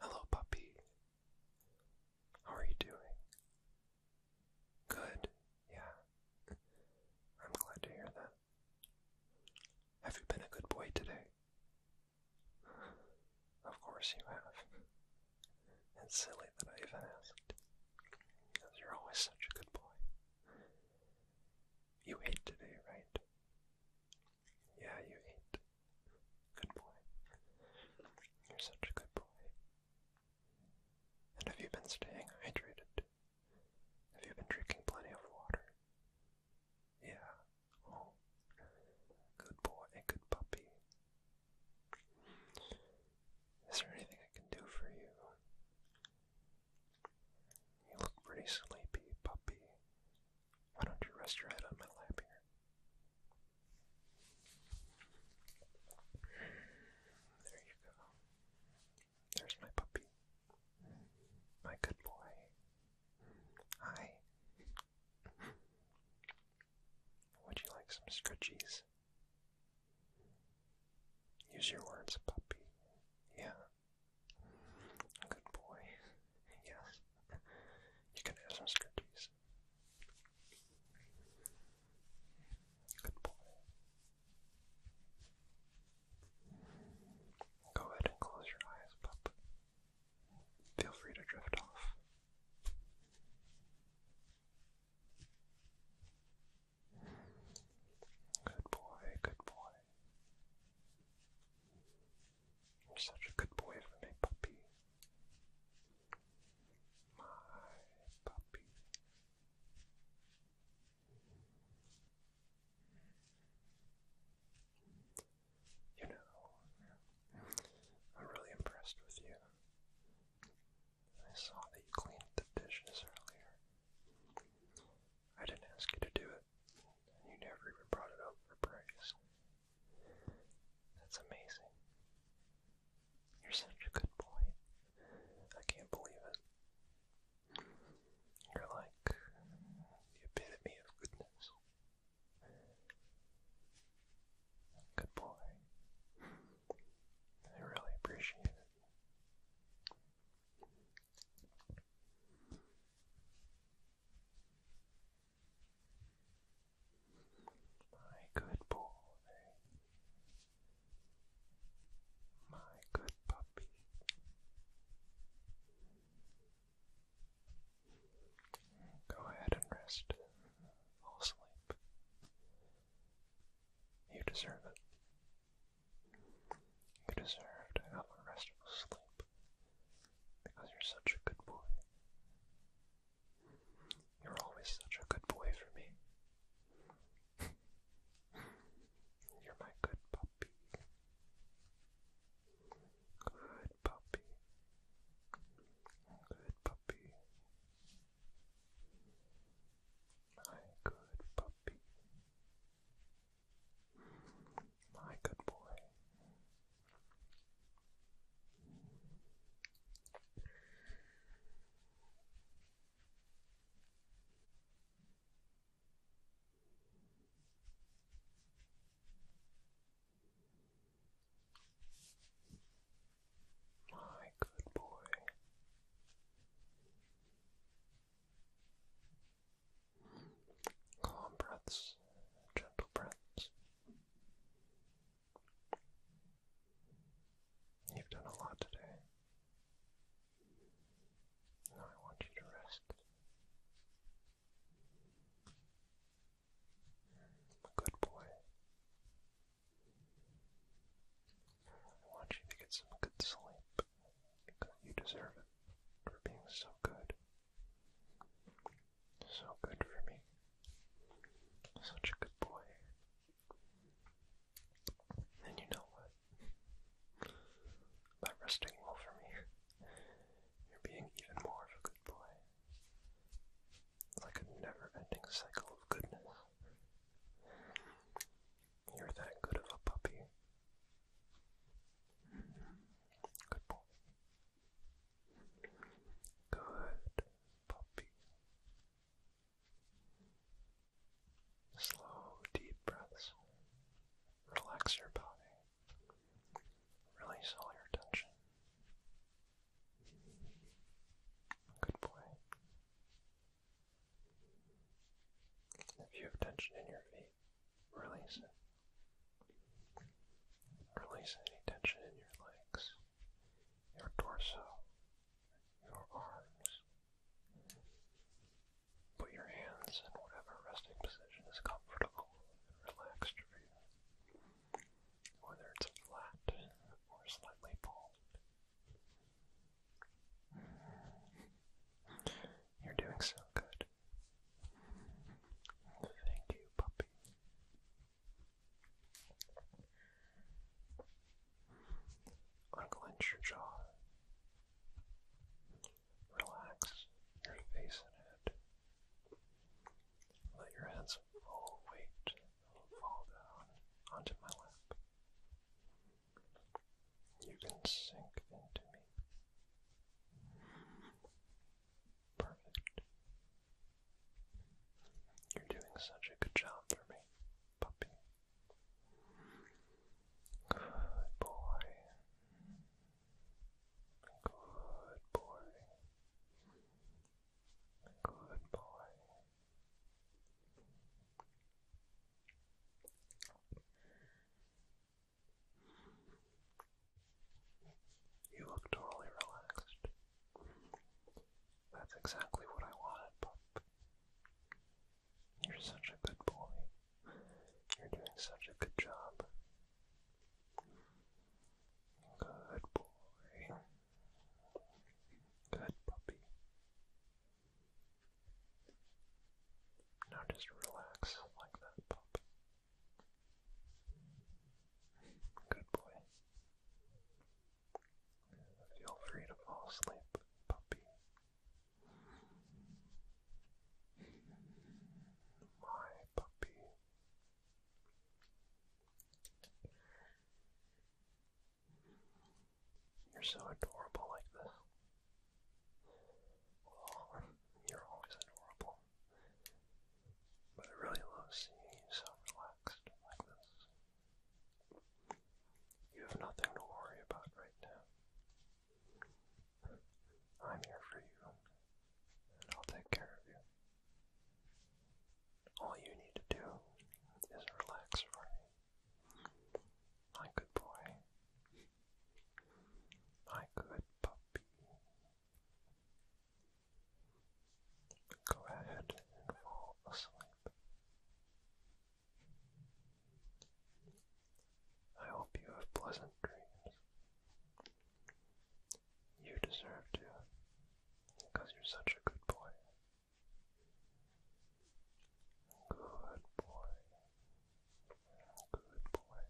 Hello, puppy. How are you doing? Good, yeah. I'm glad to hear that. Have you been a good boy today? Of course you have. It's silly that I even asked. Because you're always such a good boy. You ate today, right? Yeah, you ate. Good boy. You're such a good boy. And have you been staying hydrated? Have you been drinking plenty of water? Yeah. Oh. Good boy, good puppy. Is there anything I can do for you? You look pretty sleepy, puppy. Why don't you rest your head on my lap here? There you go. There's my puppy. My good boy. Hi. Would you like some scrunchies? Use your words, puppy. Yeah. Good boy. Yes. You can have some scrunchies. Good boy. Go ahead and close your eyes, pup. Feel free to drift off. Good boy, good boy. You're such a good boy for puppy. My puppy. You know, I'm really impressed with you. I saw that you cleaned the dishes earlier. I didn't ask you to do it, and you never even brought it up for praise. That's amazing. You're such a good boy. I can't believe it. You're like the epitome of goodness. Good boy. I really appreciate it. My good boy, my good puppy. Go ahead and rest. Fall asleep. You deserve it. You deserve a restful sleep because you're such a good boy. You're always such a good boy for me. You're my good puppy. Good puppy. Good puppy. My good puppy. My good boy. My good boy calm breaths, gentle breaths. You've done a lot today. Now I want you to rest. Good boy. I want you to get some good sleep because you deserve it for being so good so good for me. Such a good boy. And you know what? By resting well for me, you're being even more of a good boy. It's like a never ending cycle of goodness. You're that good of a puppy. Good boy. Good puppy. Slow, deep breaths. Relax your body. Release all your tension. Good boy. If you have tension in your feet, Release it. Release any tension in your legs, your torso, your arms. Put your hands in whatever resting position is comfortable and relaxed for you, whether it's flat or slightly balled. You're doing so good. Thank you, puppy. Unclench your jaw. Relax your face and head. Let your head's full weight fall down onto my lap. You can sink into me. Perfect. You're doing such a good job for me, puppy. Good boy. Good boy. Good boy. You look totally relaxed. That's exactly what I wanted, Pup. You're such a good boy. You're doing such a good job. Good boy. Good puppy. Now just relax like that, pup. Good boy. Feel free to fall asleep, puppy. My puppy. You're so adorable like this. you're always adorable. But I really love seeing you so relaxed like this. You have nothing to worry about right now. I'm here for you, and I'll take care of you. All you need to do is relax for My good boy. My good puppy. Go ahead and fall asleep. I hope you have pleasant dreams. You deserve to, because you're such a good boy. Good boy. Good boy.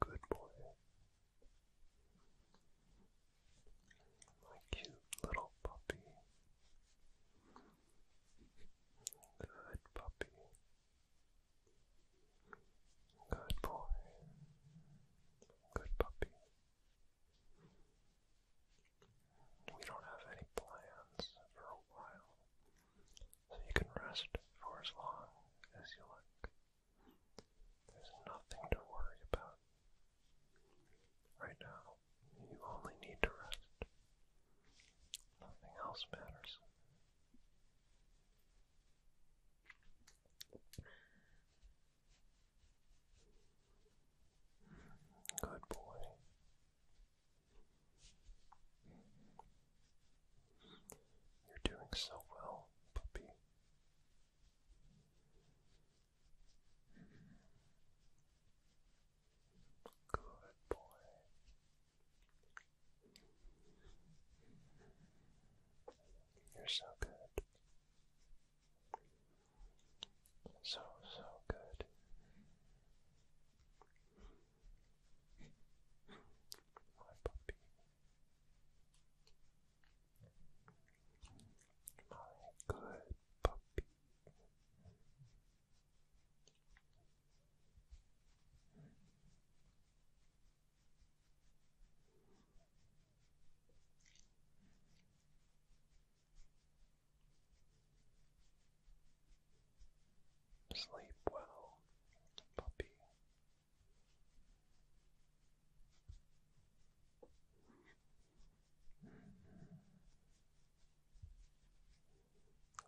Good boy. My cute little puppy. Good puppy. Good boy. Good puppy. We don't have any plans for a while so you can rest for as long as you like. There's nothing to worry about. Right now, you only need to rest. Nothing else matters. Good boy. You're doing so well, puppy. Good boy. You're so good. So, so good. My puppy. My good puppy. Sleep well, puppy.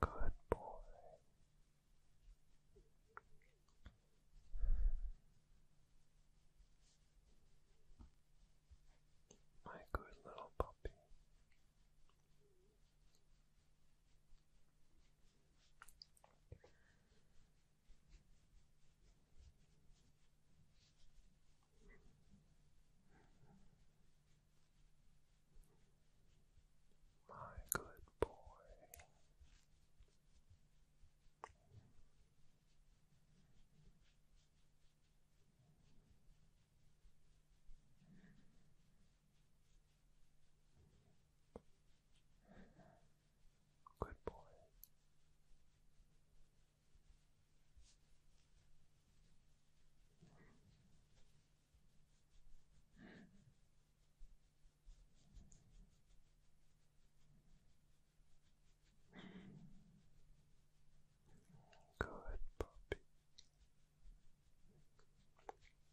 Good boy. My good little puppy. My good boy. Good boy. Good puppy.